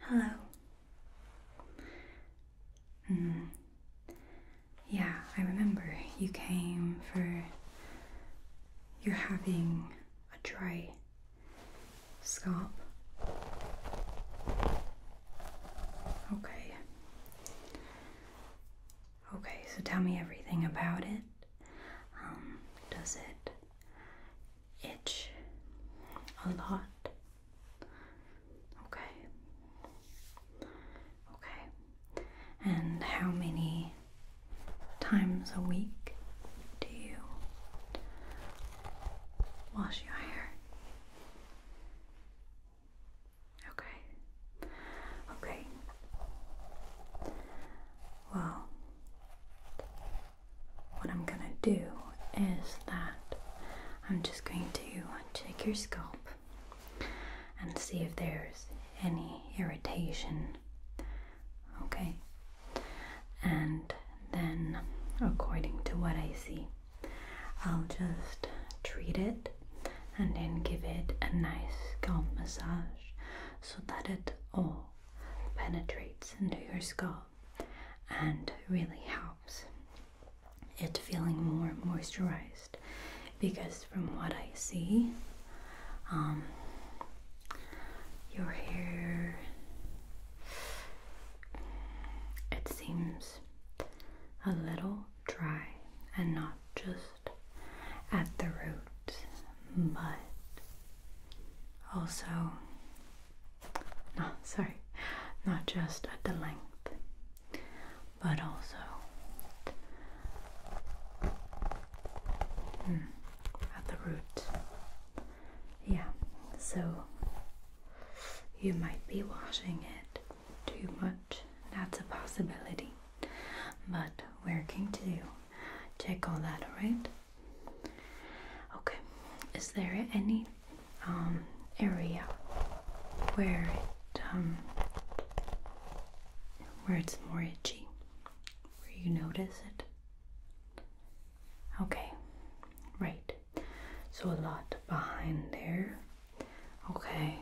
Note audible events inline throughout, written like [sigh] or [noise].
Hello. Mm. Yeah, I remember you came for. You're having a dry scalp. Okay. Okay, so tell me everything about it. Um, does it itch a lot. Okay. Okay. And how many times a week do you wash your hair? Okay. Okay. Well, what I'm gonna do is that I'm just going to check your scalp and see if there's any irritation. Okay, and then according to what I see, I'll just treat it and then give it a nice scalp massage so that it all penetrates into your scalp and really helps it feeling more moisturized because from what I see um, your hair it seems a little dry and not just at the root, but also no sorry not just at the length but also hmm, at the root yeah so you might be washing it too much that's a possibility but we're going to check all that right? Okay, is there any um, area where it um, where it's more itchy, where you notice it? Okay, right. So a lot behind there. Okay,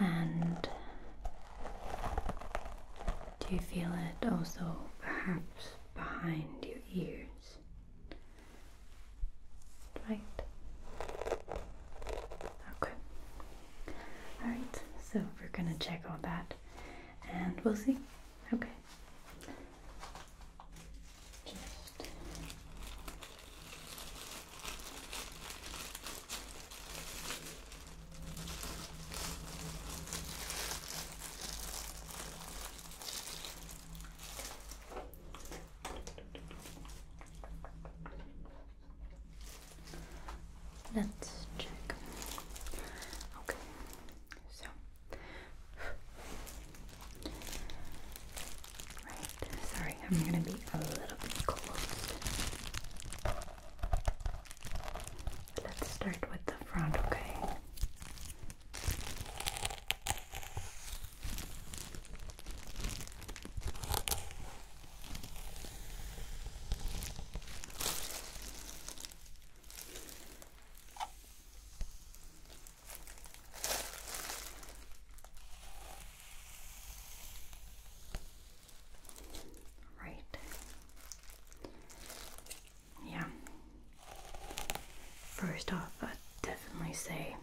and do you feel it also perhaps behind your ears? Right? Okay. Alright, so we're gonna check all that and we'll see. Okay. Just Let's check. Okay, so right. Sorry, I'm gonna be a little bit close. Let's start with the front, okay? Right. Yeah. First off, i definitely say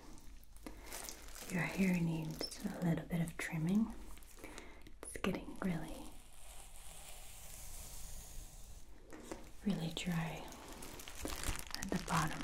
your hair needs a little bit of trimming. It's getting really, really dry at the bottom.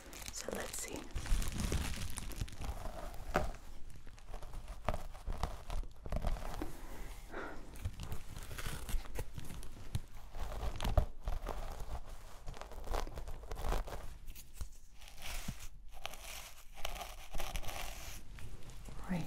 So let's see. Right.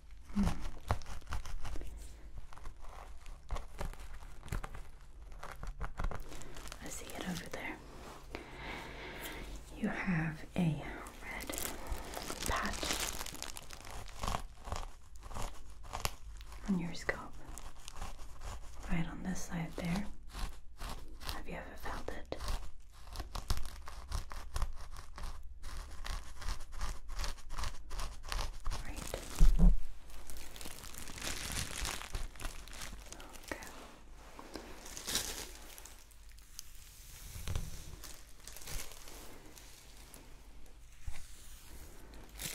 Hmm. I see it over there. You have a red patch on your scalp, right on this side there. Have you ever felt it?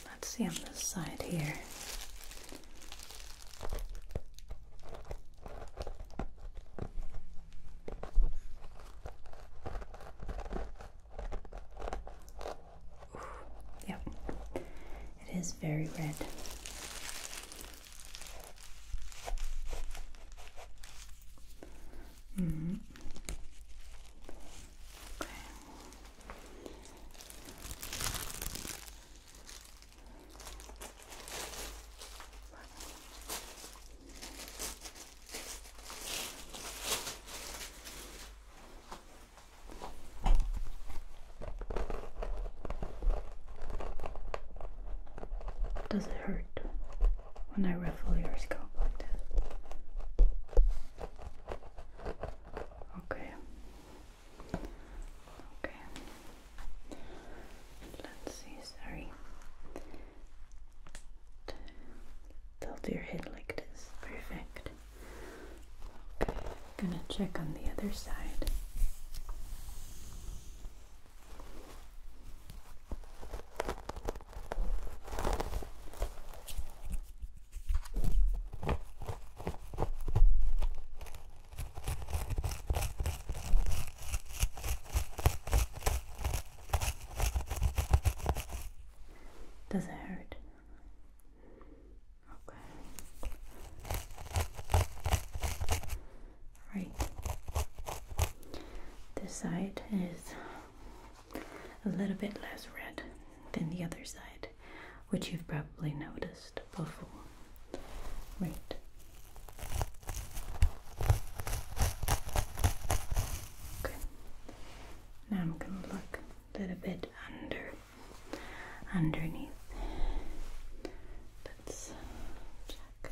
Let's see on this side here. Yep, it is very red. hmm. Okay. Does it hurt when I ruffle your scalp like that? Okay. Okay. Let's see, sorry. They'll do your head like this. Perfect. Okay, I'm gonna check on the other side. Does it hurt? Okay. Right. This side is a little bit less red than the other side, which you've probably noticed before. Right. Now I'm gonna look a little bit under underneath. Let's check.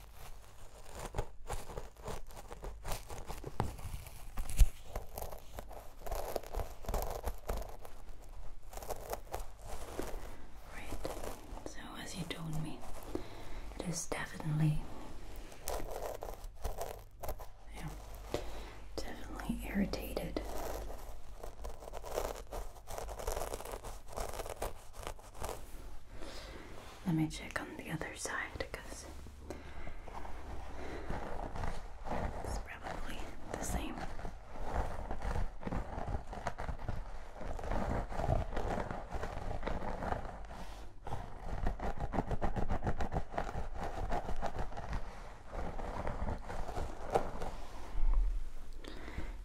Right, so as you told me, it is definitely, yeah, definitely irritated. Let me check on the other side because it's probably the same.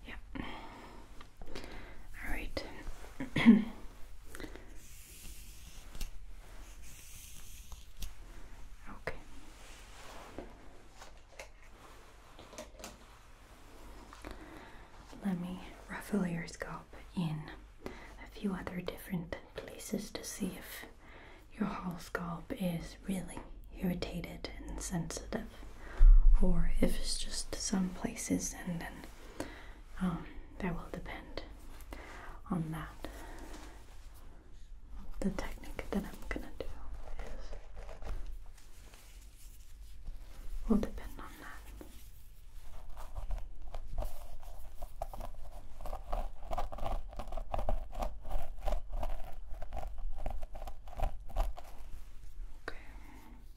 Yeah. All right. [coughs] okay. Let me ruffle your scalp in a few other different places to see if your whole scalp is really irritated and sensitive or if it's just some places, and then um, that will depend on that. The technique that I'm gonna do will depend on that. Okay.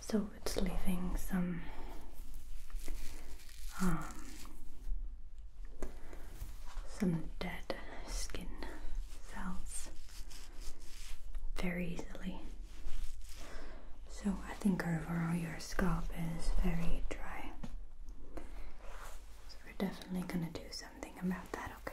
so it's leaving some um, some dead skin cells very easily. So I think overall your scalp is very dry. So we're definitely gonna do something about that, okay?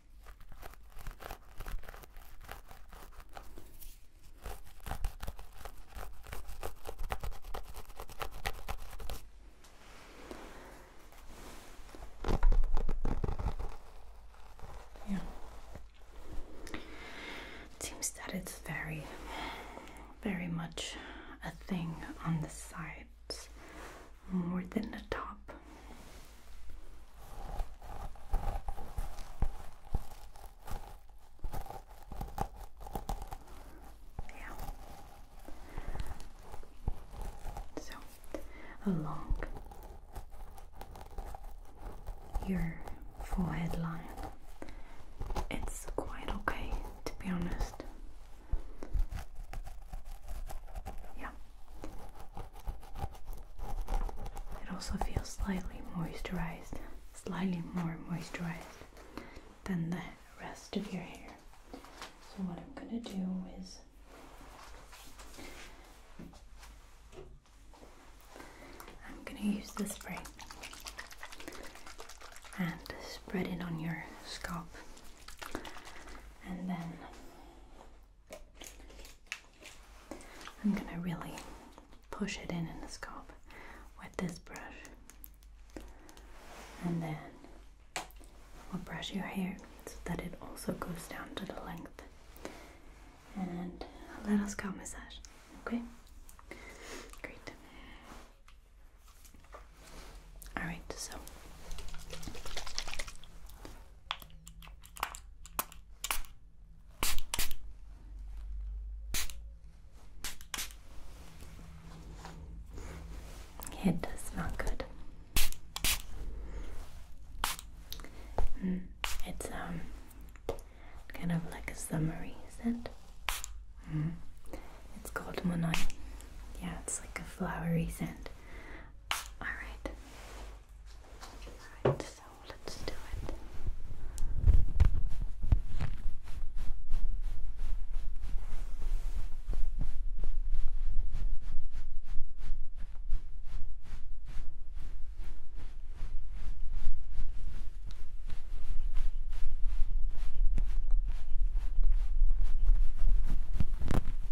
Yeah. It seems that it's very, very much a thing on the sides more than the top. Yeah. So along your forehead line, it's quite okay to be honest. Yeah. It also feels slightly moisturized, slightly more moisturized than the rest of your hair. So, what I'm going to do is I'm going to use the spray and spread it on your scalp and then I'm going to really push it in in the scalp with this brush. And then we'll brush your hair so that it also goes down to the length. And a little scalp massage, okay? Great. Alright, so it does smell good. Hmm, it's um kind of like a summery scent. Hmm, it's called Monoi. Yeah, it's like a flowery scent. All right. Alright, so let's do it.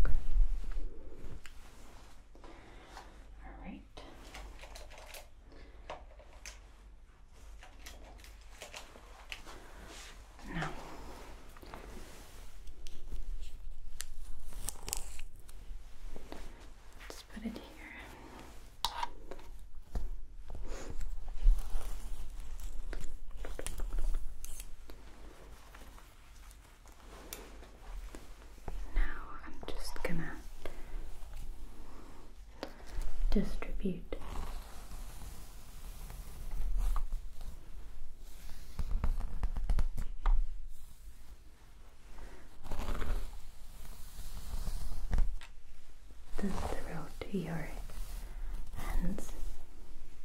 Okay. All right. Now, let's put it here. Now I'm just gonna distribute the thrill to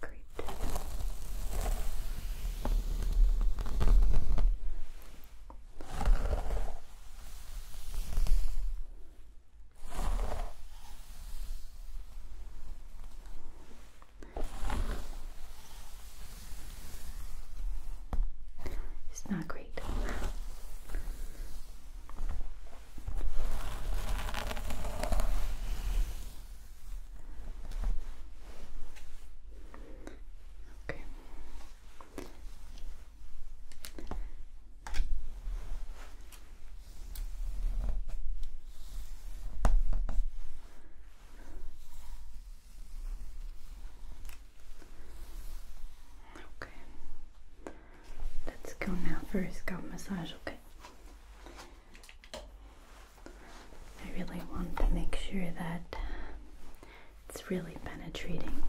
Great. Okay. It's not great. Okay. Okay. Let's go now for a scalp massage, okay? I really want to make sure that it's really penetrating.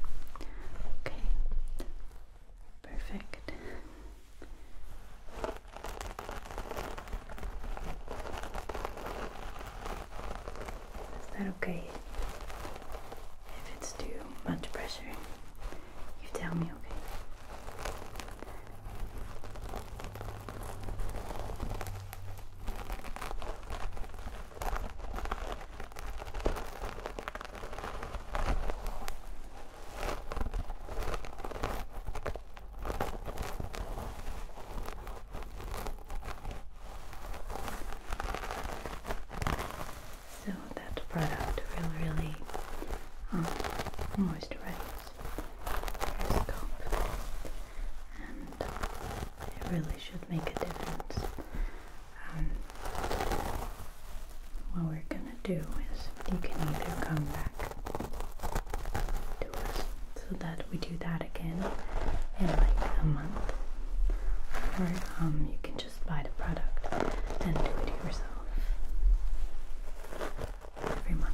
Okay. Perfect. Is that okay? If it's too much pressure, you tell me, okay? So that product will really um, moisturize your scalp and uh, it really should make a difference. Um, what we're gonna do is you can either come back to us so that we do that again in like a month, or um, you can just buy the product and do it yourself every month.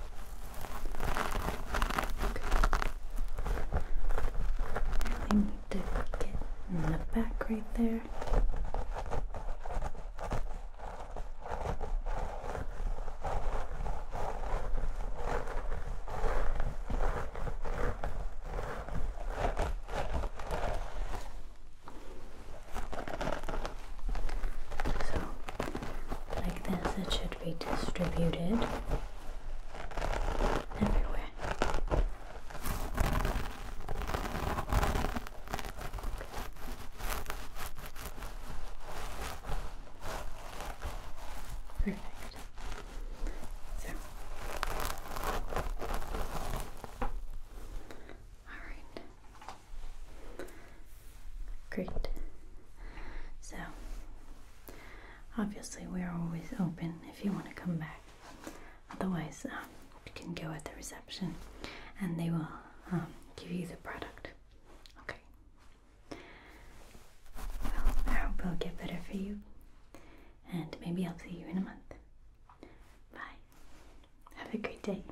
I need to get in the back right there. So, like this, it should be distributed everywhere. Perfect. So, all right. Great. So, obviously, we're always open if you want to come back. Otherwise, um, you can go at the reception and they will um, give you the product. Okay. Well, I hope it'll get better for you. And maybe I'll see you in a month. Bye. Have a great day.